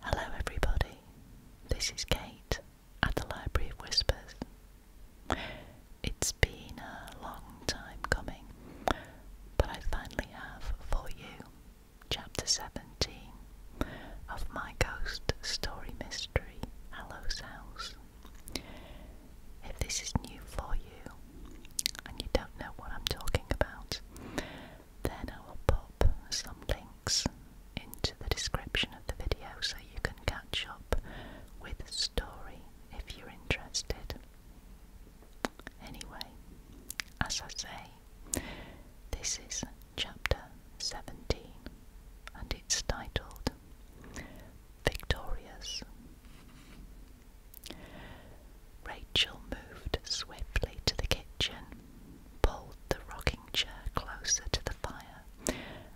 Hello, everybody. This is Kate at the Library of Whispers. It's been a long time coming, but I finally have for you Chapter 17 of my ghost story mystery, Hallow's House. If this is new for you and you don't know what I'm talking about, then I will pop some links into the description of the video so you can catch up with the story if you're interested. Anyway, as I say, this is chapter 17 and it's titled Victorious. Rachel moved swiftly to the kitchen pulled the rocking chair closer to the fire,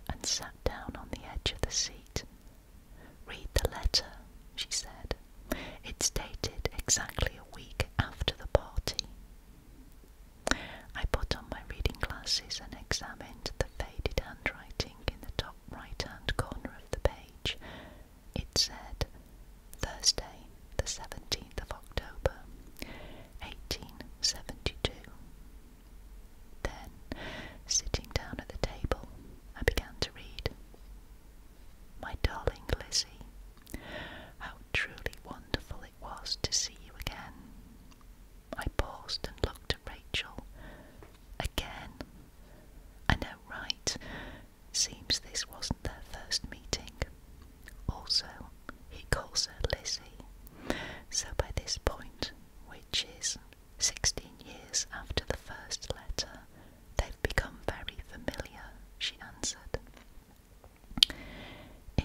and sat down on the edge of the seat. Read the letter, she said. It's dated exactly a week after the party. I put on my reading glasses and examined the faded handwriting in the top right hand corner of the page. It said, Thursday, the 17th of October, 1872. Then, sitting down at the table, I began to read. My darling Lizzie, how truly wonderful it was to see you again. I paused and looked at Rachel. Again? I know, right? Seems this wasn't their first meeting. Also, he calls her Lizzie. So by this point, which is 16 years after the first letter, they've become very familiar, she answered.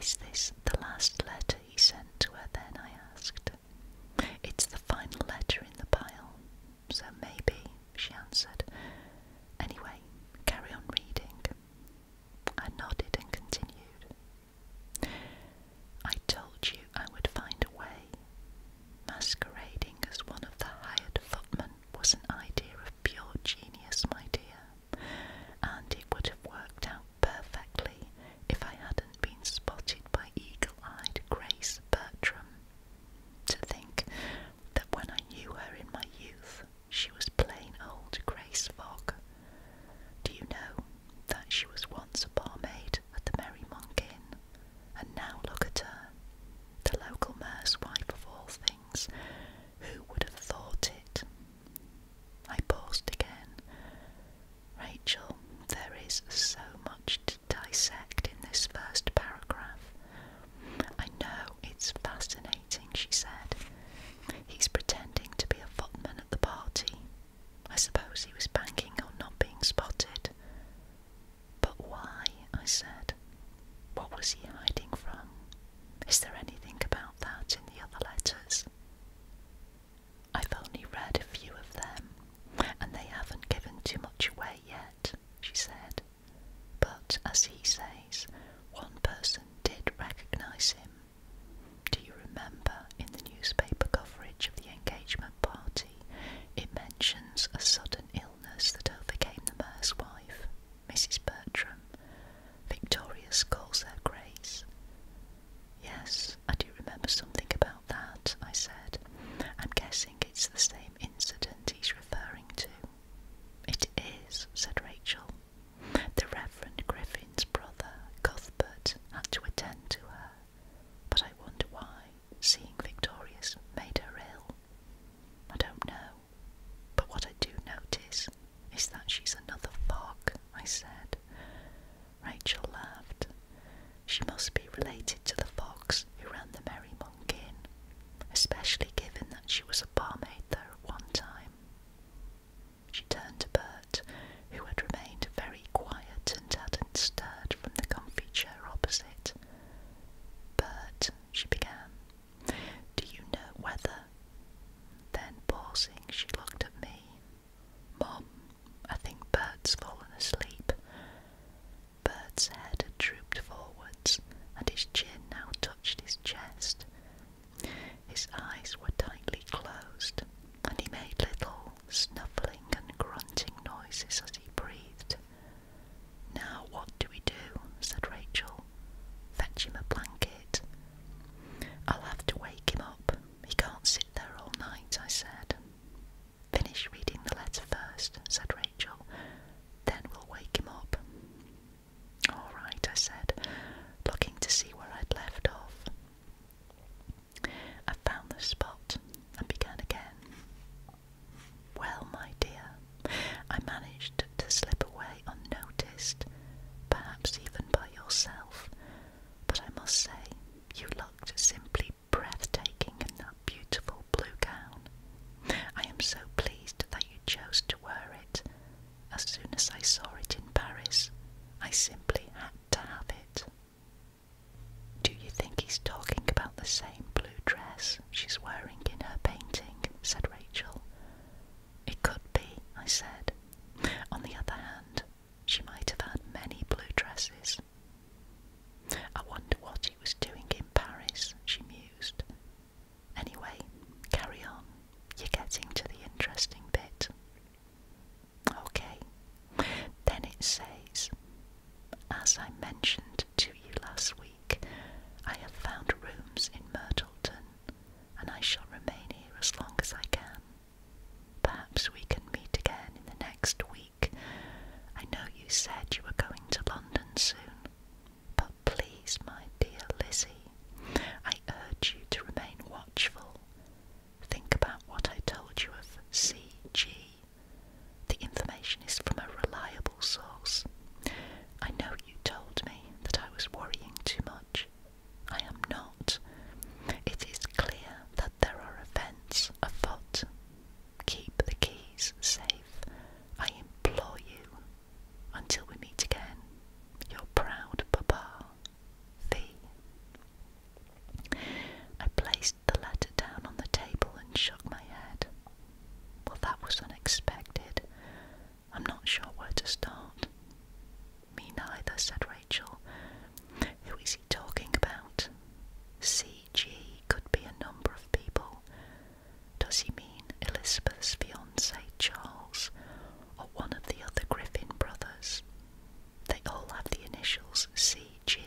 Is this the last letter he sent to her then? I asked. It's the final letter in the pile, so maybe, she answered. Anyway, carry on reading. I nodded and continued. I told you I would find a way. Masquerading as one of the hired footmen was an idea of pure genius, my dear, and it would have worked out perfectly if I hadn't been spotted by eagle eyed Grace Bertram. To think that when I knew her in my youth, she was plain old Grace Fogg. Do you know that she was once a barmaid at the Merrymonk Inn? And now look at her, the local mayor's wife of all things. Who would have thought it? I paused again. Rachel, there is so much to dissect in this first paragraph. I know it's fascinating, she said, He's pretending to be a footman at the party. I suppose he was banking on not being spotted. But why? I said. What was he hiding from? Is there anything about that in the other letters? I've only read a few of them, and they haven't given too much away yet, she said. But as he says, one person did recognise him. Do you remember in the newspaper coverage of the engagement party, it mentions a sudden illness that overcame the mayor's wife, Mrs. Bertram. Victorious calls her Grace. Yes, I do remember something about that, I said. I'm guessing it's the same incident he's referring to. It is, said Rachel. The Reverend Griffin's brother, Cuthbert, had to attend to her, but I wonder why seeing Victorious made her ill. I don't know, but what I do notice is that she's another fog, I said. Rachel laughed. She must be related to the fox who ran the Merry Monk Inn, especially given that she was a barmaid there at one time. She turned to Bert, who had remained very quiet and hadn't stirred from the comfy chair opposite. Bert, she began, do you know whether? Then, pausing, she looked at me. Mom, I think Bert's fallen asleep. Bert's head had drooped forwards, and his chin now touched his chest, his eyes were tightly closed, and he made little snuffling and grunting noises as he breathed. Now what do we do? said Rachel. Fetch him a blanket. I'll have to wake him up. He can't sit there all night, I said. Finish reading the letter first, said Rachel. Then we'll wake him up. All right, I said, looking to see where I'd left off. I found the spot and began again. Well, my dear, I managed to slip away unnoticed, perhaps even by yourself, but I must say you looked simply breathtaking in that beautiful blue gown. I am so pleased that you chose to wear it, as soon as I saw it in Paris, I simply had to have it. Do you think he's talking about the same blue dress she's wearing in her painting? said Rachel. It could be, I said. On the other hand, she might have had many blue dresses. I wonder what he was doing in Paris, she mused, Anyway, carry on. You're getting to the interesting bit. Okay, then it says, as I mentioned to you last week, I have found rooms in Myrtleton and I shall remain here as long as I can. Perhaps we can meet again in the next week. I know you said you were going to London soon. But please, my dear Lizzie, I urge you to remain watchful. Think about what I told you of CG. The information is from a reliable source. I know you told me that I was worrying too much. I am not. It is clear that there are events afoot. Keep the keys safe. I implore you. Until we meet again, your proud papa, V. I placed the letter down on the table and shook my head. Well, that was unexpected. I'm not sure where to start. Me neither, said Rachel. Who is he talking about? CG could be a number of people. Does he mean Elizabeth's fiance? Say Charles or one of the other Griffin brothers. They all have the initials CG.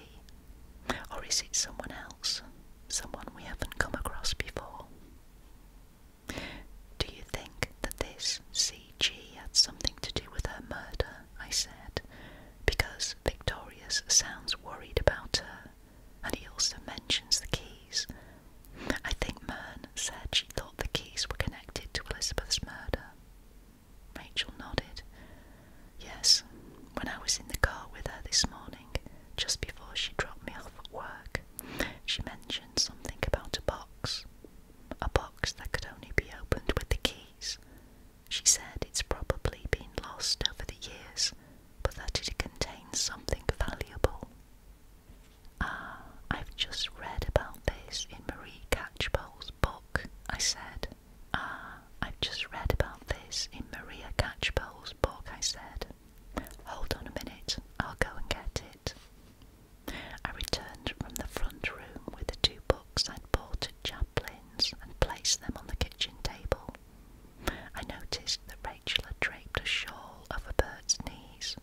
Or is it someone else? Someone we haven't come across before? Do you think that this CG had something to do with her murder? I said, because Victorious sounds worried about her, and he also mentions the keys I think Mern said she thought the keys were connected to Elizabeth's murder. Rachel nodded. Yes, when I was in the car with her this morning, just before she dropped me off at work, she mentioned something about a box. A box that could only be opened with the keys. She said it's probably been lost over the years, but that it contains something valuable. Ah, I've just read about this in Maria Catchpole's book, I said. Ah, I've just read about this in Maria Catchpole's book, I said. Hold on a minute, I'll go and get it. I returned from the front room with the two books I'd bought at Chaplin's and placed them on the kitchen table. I noticed that Rachel had draped a shawl over Bert's knees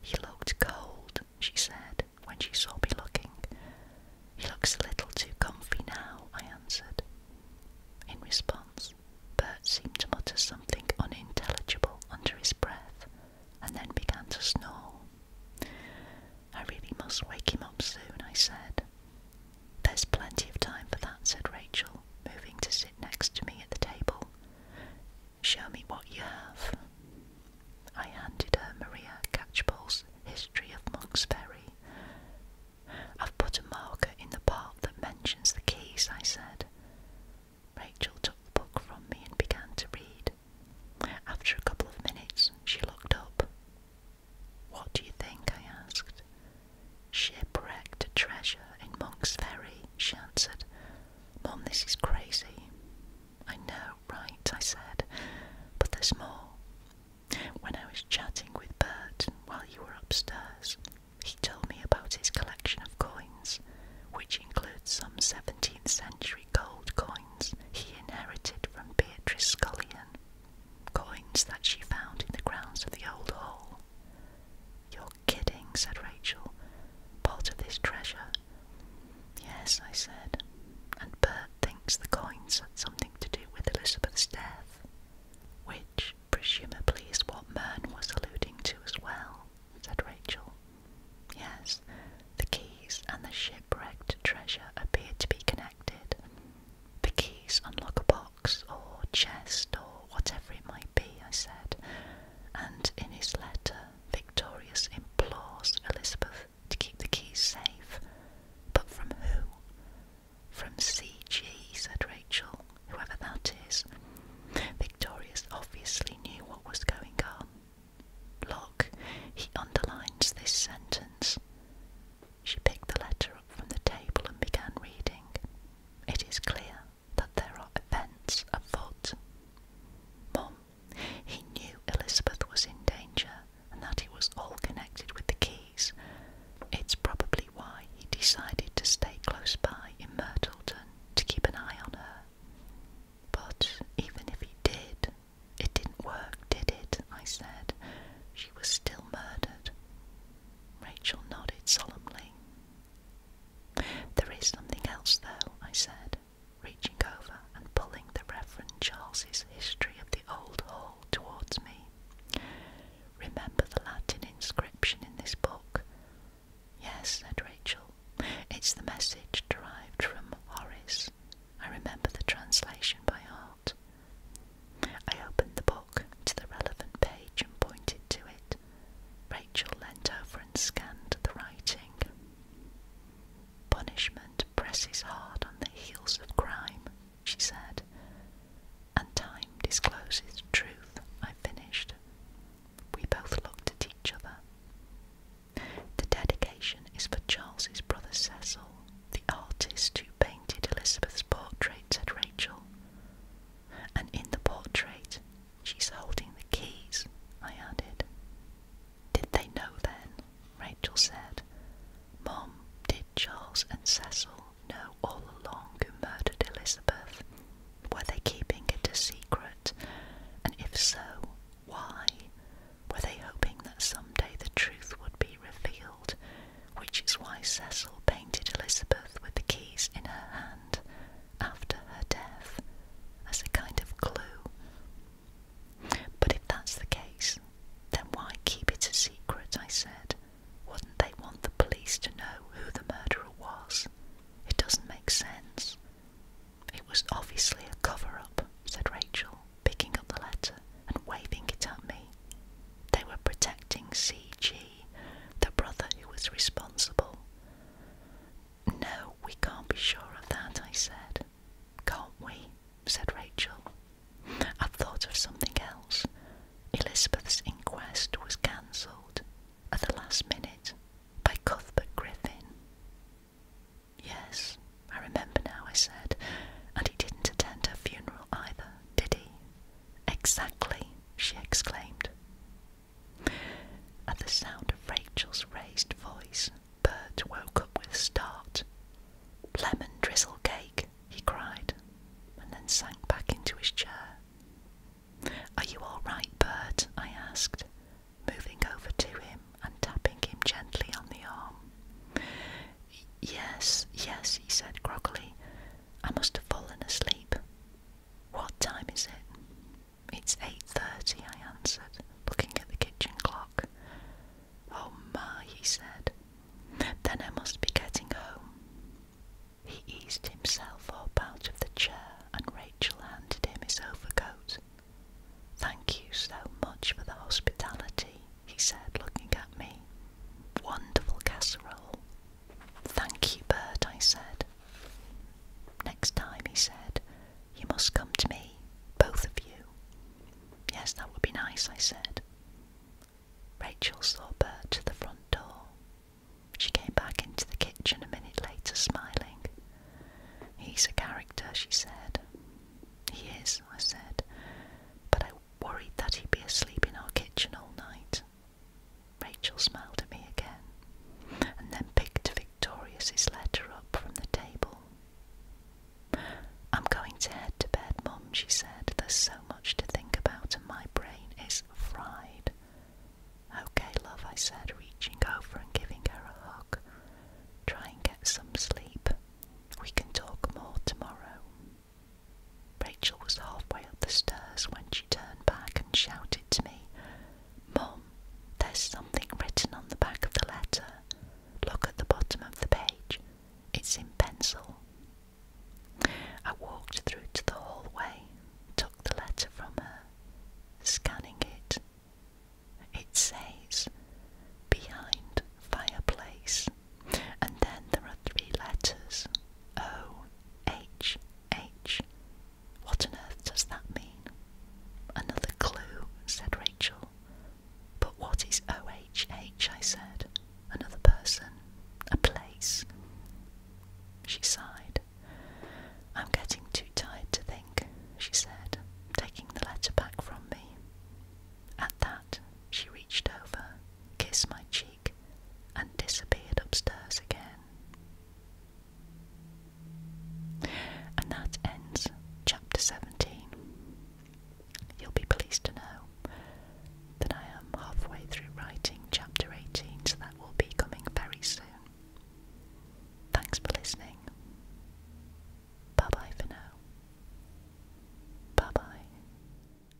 he looked cold, she said, when she saw me looking. He looks a little too comfy now, I answered. In response, Bert seemed to mutter something unintelligible under his breath and then began to snore. I really must wake him up soon, I said. There's plenty of time for that, said Rachel, moving to sit next to me at the table. Show me what you have. I handed her Maria Catchpole's History of Monk's Ferry. I've put a marker in the part that mentions the keys, I said. Rachel took the book from me and began to read. After a couple of minutes, she looked up. What do you think? I asked. Shipwrecked treasure in Monk's Ferry, she answered. Mom, this is crazy. I know, right, I said, but there's more. When I was chatting with Bert while you were upstairs, he told me about his collection of coins, which includes some 17th century gold coins he inherited from Beatrice Scullion, coins that she found in the grounds of the old hall. Your kidding, said Rachel. Part of this treasure. Yes, I said. And Bert thinks the coins had something to do with Elizabeth's death, which presumably is what Mern was alluding to as well, said Rachel. Yes, the keys and the shipwrecked treasure appear to be connected. The keys unlock a box or chest or whatever it might be, I said, and in his letter, Victorious implores Elizabeth to keep the keys safe. But from who? From C.G., said Rachel, whoever that is. Victorious obviously knew what was going on. Look, he underlines this sentence. She picked the letter up from the table and began reading. It is clear that there are events afoot. Mum, he knew Elizabeth was in danger and that it was all connected with the keys. It's probably why he decided to stay close by in Myrtleton to keep an eye on her. But even if he did, it didn't work, did it? I said. She was still murdered. Rachel nodded solemnly. There is something else, though, I said, reaching over and pulling the Reverend Charles's History of the Old Hall towards me. Remember the Latin inscription in this book? Yes, said Rachel. It's the message derived from Horace. I remember the translation by heart. I opened the book to the relevant page and pointed to it. Rachel leaned over and scanned the writing. Punishment presses hard on the heels of crime, she said, and time discloses truth. I finished. We both looked at each other. The dedication is for Charles's brother Cecil, the artist who painted Elizabeth's portrait, said Rachel. And in the portrait, She's holding the keys, I added. Did they know then? Rachel said. "Mom, did Charles and Cecil know all along who murdered Elizabeth? Were they keeping it a secret? And if so, why? Were they hoping that someday the truth would be revealed? Which is why Cecil painted Elizabeth with the keys in her hand after her death as a kind of clue. But if that's the case, then why keep it a secret? I said. Wouldn't they want the police to know who the murderer was? It doesn't make sense. It was obviously a cover up, said Rachel, picking up the letter and waving it at me. They were protecting C.G., the brother who was responsible. No, we can't be sure of that, I said. Can't we? said Rachel. I've thought of something else. Elizabeth's inquest was cancelled at the last minute by Cuthbert Griffin. Yes, I remember now, I said, and he didn't attend her funeral either, did he? Exactly, she exclaimed. At the sound of Rachel's raised voice, Bert woke up with a start. Lemon drizzle cake, he cried, and then sank back into his chair. Are you all right, Bert? I asked, moving over to him and tapping him gently on the arm. Yes, yes, he said groggily. I must have fallen asleep. What time is it? It's 8.30, I answered, looking at the kitchen clock. Oh my, he said. Then I must be getting home. He eased himself up out of the chair and Rachel handed him his overcoat. Thank you so much for the hospitality, he said, looking at me. Wonderful casserole. Thank you, Bert, I said. Next time, he said, you must come to me, both of you. Yes, that would be nice, I said. Rachel saw Bert to the front door. She came back into the kitchen a minute later, smiling. He's a character, she said. He is, I said, but I worried that he'd be asleep in our kitchen all night. Rachel smiled at me again, and then picked Victoria's letter up from the table. I'm going to head to bed, Mum, she said. There's so much to think about, and my brain is fried. Okay, love, I said, reaching over and giving her a hug. Try and get some sleep. We can talk more tomorrow. Rachel was halfway up the stairs when she turned back and shouted to me, Mum, there's something written on the back of the letter. Look at the bottom of the page. It's in pencil. I walked through to the hallway, took the letter from her, scanning it. It says, Behind Fireplace. And then there are three letters O H H what on earth does that mean? Another clue, said Rachel. But what is OHH? I said. Another person, a place. She sighed. I'm getting too tired to think, she said, taking the letter back from me. At that, she reached over, kissed my cheek, and disappeared upstairs again. And that ends chapter 17. You'll be pleased to know that I am halfway through writing chapter 18, so that will be coming very soon. Thanks for listening. Bye bye for now. Bye bye.